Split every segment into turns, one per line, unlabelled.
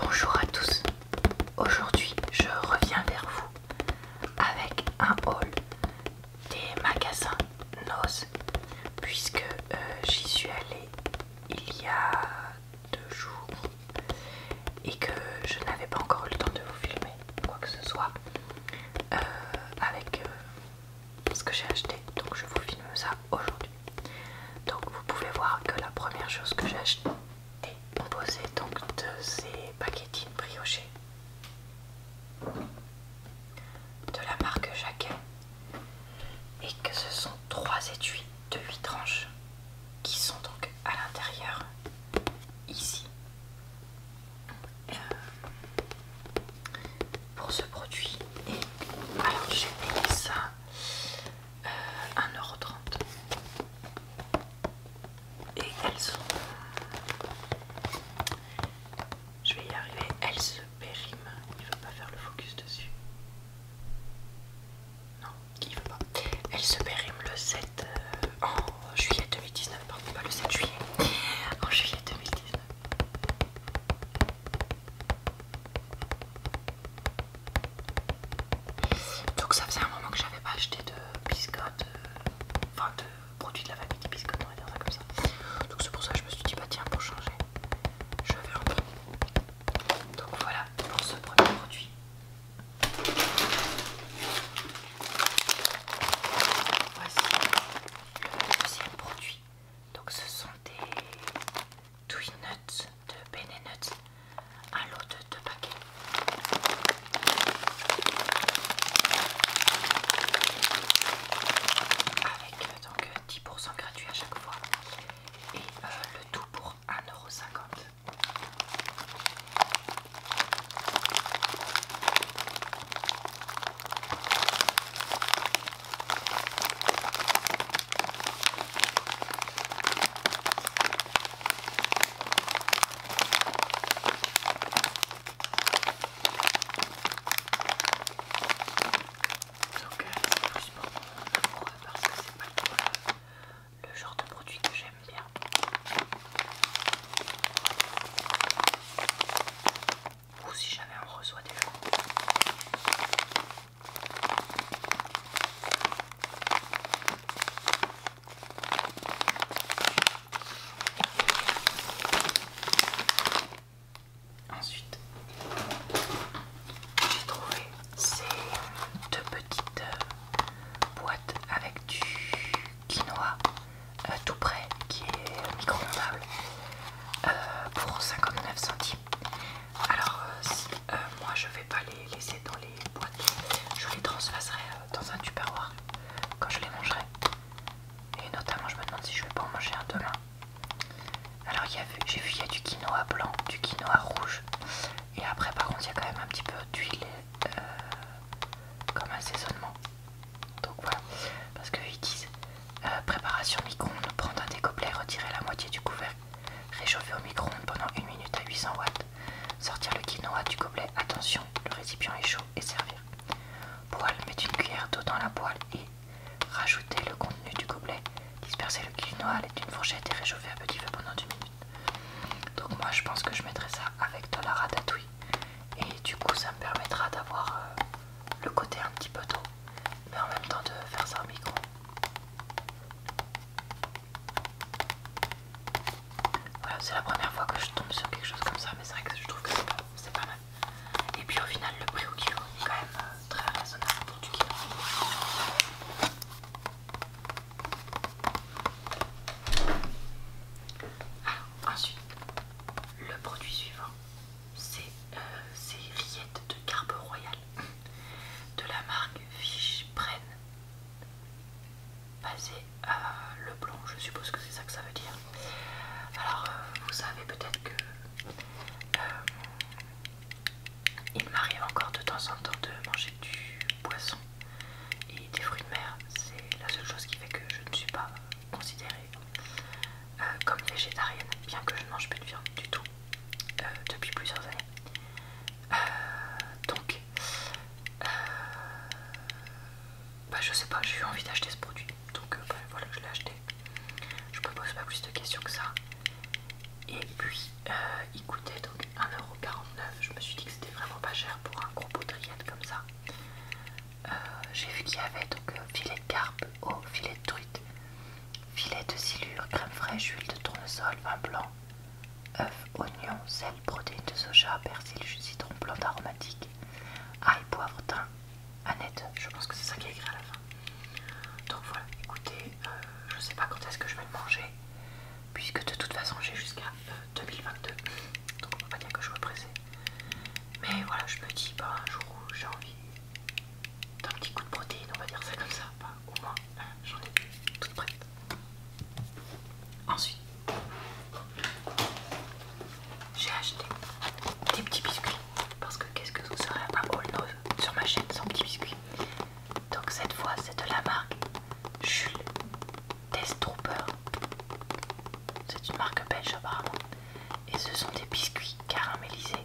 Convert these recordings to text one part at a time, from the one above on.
Bonjour à tous, aujourd'hui je reviens vers vous avec un haul des magasins Noz puisque euh, j'y suis allée il y a deux jours et que je n'avais pas encore eu le temps de vous filmer quoi que ce soit euh, avec euh, ce que j'ai acheté donc je vous filme ça aujourd'hui donc vous pouvez voir que la première chose que j'ai achetée composée donc de ces paquetines briochées de la marque Jacquet et que ce sont trois étuis de 8 tranches qui sont donc à l'intérieur ici euh, pour ce produit et alors j'ai payé ça 1,30€. Euh, Et elles sont... Je vais y arriver, elles se périment. Il ne veut pas faire le focus dessus. Non, il ne veut pas. Elles se périment le 7 euh, en juillet 2019, pardon, pas le 7 juillet. En juillet 2019. Donc ça faisait un moment que j'avais pas acheté de biscottes, euh, enfin de produits de la famille des biscottes, on va dire ça comme ça. Donc c'est pour ça que je me suis dit bah tiens pour changer, je vais en prendre. Donc voilà pour ce premier produit. Voici le deuxième produit. Donc ce sont des Twi Nuts de Ben Nuts, un lot de deux paquets. Avec euh, donc 10% euh, gratuit à chaque fois. Et euh, le tout pour 1,50€. Donc, euh, c'est plus pour mon amoureux parce que c'est pas le, le genre de produit que j'aime bien. Ou si jamais on reçoit des gens. Ensuite, j'ai trouvé ces deux petites euh, boîtes avec du quinoa euh, tout près, qui est micro-ondable euh, pour 59 centimes. Alors, euh, euh, moi je vais pas les laisser dans les boîtes, je les transfacerai euh, dans un tupperware quand je les mangerai. Et notamment, je me demande si je vais pas en manger un demain. Alors, j'ai vu il y a du quinoa blanc, du quinoa rouge, et après, par contre, il y a quand même un petit peu d'huile comme assaisonnement. Donc voilà, parce qu'ils disent préparation micro-ondes, prendre un découplet, retirer la moitié du couvercle réchauffer au micro-ondes pendant 1 minute à 800 watts, sortir le quinoa du gobelet, attention, le récipient est chaud, et servir. Poêle, mettre une cuillère d'eau dans la poêle et rajouter le contenu du gobelet, disperser le quinoa avec une fourchette et réchauffer à petit feu pendant une minute. Donc moi je pense que je mettrai ça avec de la ratatouille et du coup ça me permettra d'avoir euh, le côté un petit peu d'eau mais en même temps de faire ça au micro voilà, c'est la première fois que je tombe sur quelque chose comme ça, mais c'est vrai que je trouve que c'est pas, mal. Et puis au final, le prix au kilo est quand même euh, très raisonnable pour du kilo. Alors, ensuite, le produit suivant, c'est Riette euh, rillettes de carpe royale de la marque prenne basée à le je suppose que c'est ça que ça veut dire. Alors, euh, vous savez peut-être que euh, il m'arrive encore de temps en temps de manger du poisson et des fruits de mer. C'est la seule chose qui fait que je ne suis pas considérée euh, comme végétarienne, bien que je ne mange plus de viande du tout. Euh, depuis plusieurs années. Euh, donc, euh, bah, je sais pas, j'ai eu envie d'acheter ce produit, donc bah, voilà, je l'ai acheté. Je me pose pas plus de questions que ça. Et puis, il coûtait donc 1,49€. Je me suis dit que c'était vraiment pas cher pour un gros pot comme ça. j'ai vu qu'il y avait donc filet de carpe au filet de truite Filet de silure, crème fraîche, huile de tournesol, vin blanc, œufs, oignons, sel, protéines de soja, persil, jus de citron, plante aromatique, ail, poivre, thym, Annette. Je pense que c'est ça qui est écrit à la fin. Donc voilà, écoutez, euh, je ne sais pas quand est-ce que je vais le manger, puisque de toute façon j'ai jusqu'à 2022, euh, donc on va pas dire que je veux presser. Mais voilà, je me dis, pas bah, un jour où j'ai envie d'un petit coup de protéine on va dire ça comme ça. au moins, j'en ai toute prête. Ensuite, j'ai acheté des petits biscuits. Parce que qu'est-ce que vous serez un all sur ma chaîne sans petits biscuits Donc cette fois, c'est de la marque Jules Test Trooper. C'est une marque belge apparemment. Et ce sont des biscuits caramélisés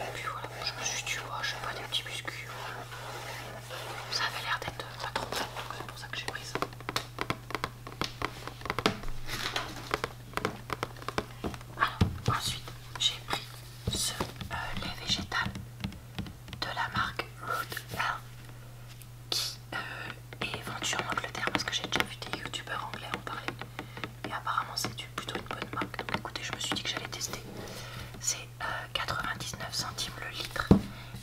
Et puis voilà, je me suis dit, vois je vois pas, des petits biscuits. Ça avait l'air d'être pas trop donc c'est pour ça que j'ai pris ça. Alors, ensuite, j'ai pris ce euh, lait végétal de la marque Root Health qui euh, est vendu en Angleterre parce que j'ai déjà vu des youtubeurs anglais en parler et apparemment c'est plutôt une bonne marque donc écoutez je me suis dit que j'allais tester c'est 99 euh, centimes le litre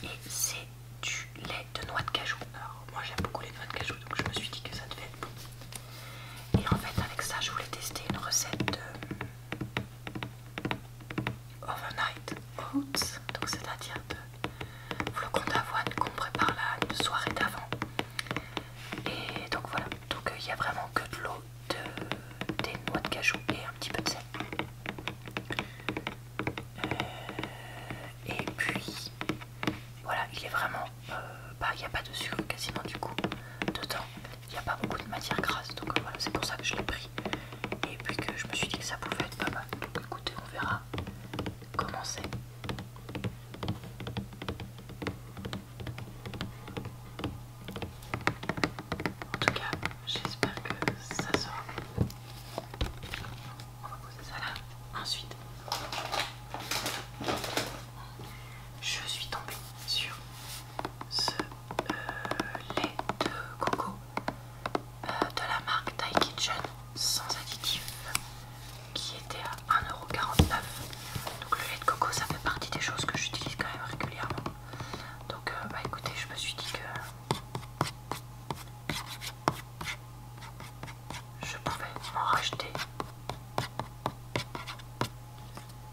et c'est du lait de noix de cajou alors moi j'aime beaucoup les noix de cajou donc je me suis dit que ça devait être bon et en fait avec ça je voulais tester une recette de euh, overnight oats donc c'est à dire de flocons d'avoine qu'on prépare la soirée d'avant et donc voilà, donc euh, il y n'y a vraiment que de l'eau, de, des noix de cajou et un petit peu de sel. Euh, et puis voilà, il est vraiment. Euh, bah, il n'y a pas de sucre quasiment du coup dedans. Il n'y a pas beaucoup de matière grasse, donc voilà, c'est pour ça que je l'ai pris. Et puis que je me suis dit que ça pouvait être pas mal. Écoutez, on verra comment c'est. En tout cas, j'espère que ça sort, On va poser ça là. Ensuite, je suis tombée sur ce euh, lait de coco euh, de la marque Thai Kitchen sans additifs qui était à 1,49€. Donc le lait de coco ça fait partie des choses que j'utilise quand même régulièrement. Donc euh, bah écoutez je me suis dit que je pouvais m'en racheter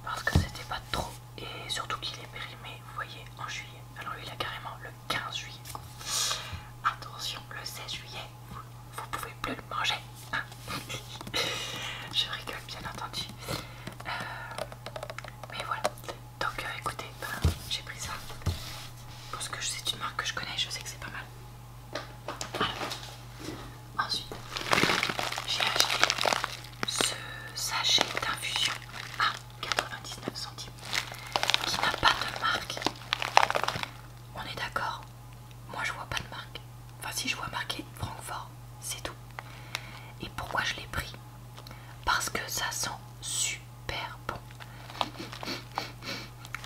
parce que c'était pas trop et surtout qu'il est périmé vous voyez en juillet. Alors lui il a carrément le 15 juillet. Attention le 16 juillet vous pouvez plus le manger. Ah. Je rigole bien entendu. Euh, mais voilà. Donc euh, écoutez, ben, j'ai pris ça. Parce que c'est une marque que je connais, je sais que c'est pas mal. ensuite, j'ai acheté ce sachet d'infusion à 99 centimes qui n'a pas de marque. On est d'accord moi je vois pas de marque. Enfin si je vois marqué Francfort, c'est tout. Et pourquoi je l'ai pris Parce que ça sent super bon.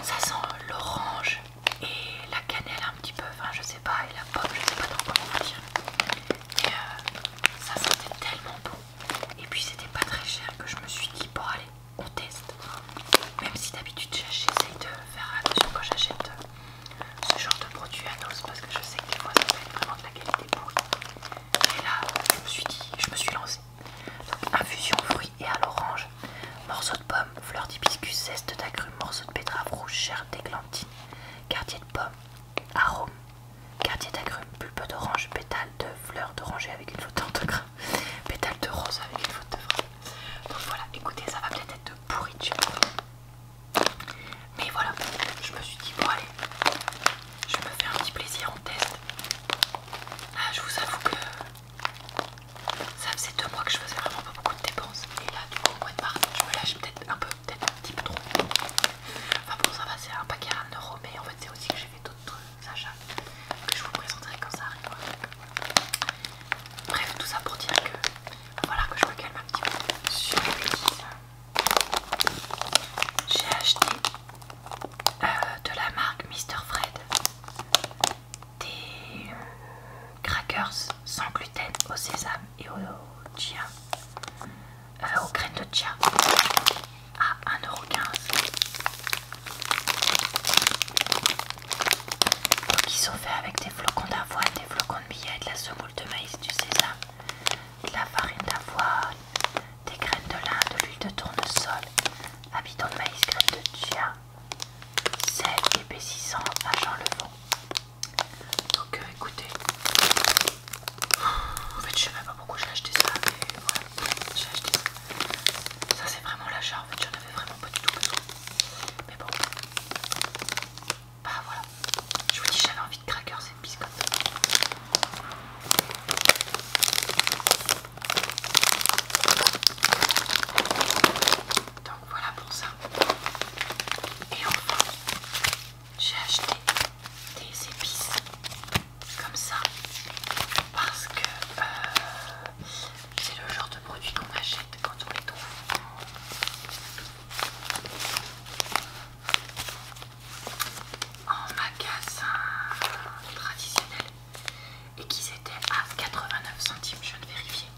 Ça sent l'orange et la cannelle un petit peu, enfin je sais pas, et la pomme, je sais pas trop comment dire. Mais euh, ça sentait tellement bon. Et puis c'était pas très cher que je me suis dit, bon allez, on teste. Même si d'habitude j'essaye de faire attention quand j'achète euh, ce genre de produit à parce que je sais que des fois ça fait vraiment de la qualité Et là, je me suis dit, je me suis lancé infusion fruits et à l'orange, morceau de pomme, fleur d'hibiscus, zeste d'agrumes, morceau de pétra rouge, chair d'églantine, quartier de pomme, arôme, quartier d'agrumes, pulpe d'orange, pétale de fleur d'oranger avec une de grain pétale de rose avec une faute de donc voilà, écoutez, ça va peut-être être de moi Mais voilà, je me suis dit, bon allez, je vais me faire un petit plaisir en test. Ah, je vous avoue que ça faisait deux mois que je faisais vraiment pas beaucoup de dépenses. Et là, du coup, au mois de mars, je me lâche peut-être un peu, peut-être un petit peu trop. Enfin bon, ça va, c'est un paquet à 1€ mais en fait, c'est aussi que j'ai fait d'autres achats que je vous présenterai quand ça arrive. Bref, tout ça pour dire que voilà que je me calme un petit peu euh. J'ai acheté euh, de la marque Mr Fred des euh, crackers sans gluten au sésame et au chia, aux graines de chia à 1,15€. Donc ils sont faits avec des flocons d'avoine, des flocons de billets, de la semoule de maïs, du sésame, de la farine d'avoine, des graines de lin, de l'huile de tournesol, habitons de maïs, graines de chia, sel, épaississant, agent levant. Donc euh, écoutez, en fait je ne savais pas pourquoi j'ai acheté ça, mais voilà, j'ai acheté ça. c'est vraiment l'achat, en fait j'en avais vraiment pas du tout besoin. Mais bon, bah voilà. Je vous dis, j'avais envie de cracker et de Donc voilà pour ça. Et enfin, j'ai acheté des épices comme ça parce que euh, c'est le genre de produit qu'on achète quand on les trouve En magasin traditionnel et qu'ils étaient à 89 centimes, je viens de vérifier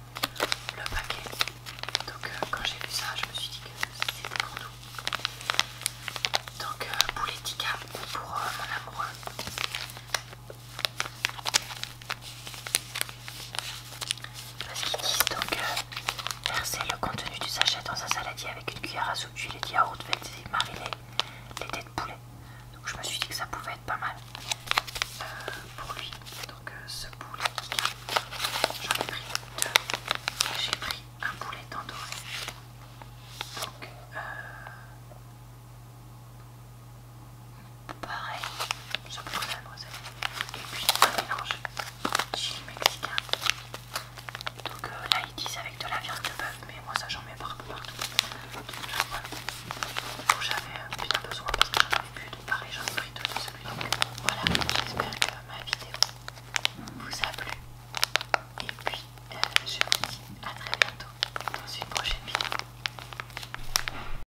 le paquet. Donc euh, quand j'ai vu ça, je me suis dit que c'était pour tout. Donc euh, pour les pour euh, mon amoureux. Parce qu'ils disent donc verser le contenu du sachet dans un saladier avec une cuillère à soupe d'huile de yaourt, faites et mariner les dés de poulet. Donc je me suis dit que ça pouvait être pas mal euh, pour lui. Donc euh, ce poulet, j'en ai pris deux j'ai pris un poulet d'endoré Donc euh, Pareil, je prends la noisette Et puis un mélange chili mexicain. Donc euh, là ils disent avec de la viande de bœuf, mais moi ça j'en mets partout. partout. Donc j'avais bien euh, besoin parce que j'en avais plus. de pareil, j'en ai pris de celui-là. Voilà, j'espère que ma vidéo vous a plu. Et puis euh, je vous dis à très bientôt dans une prochaine vidéo.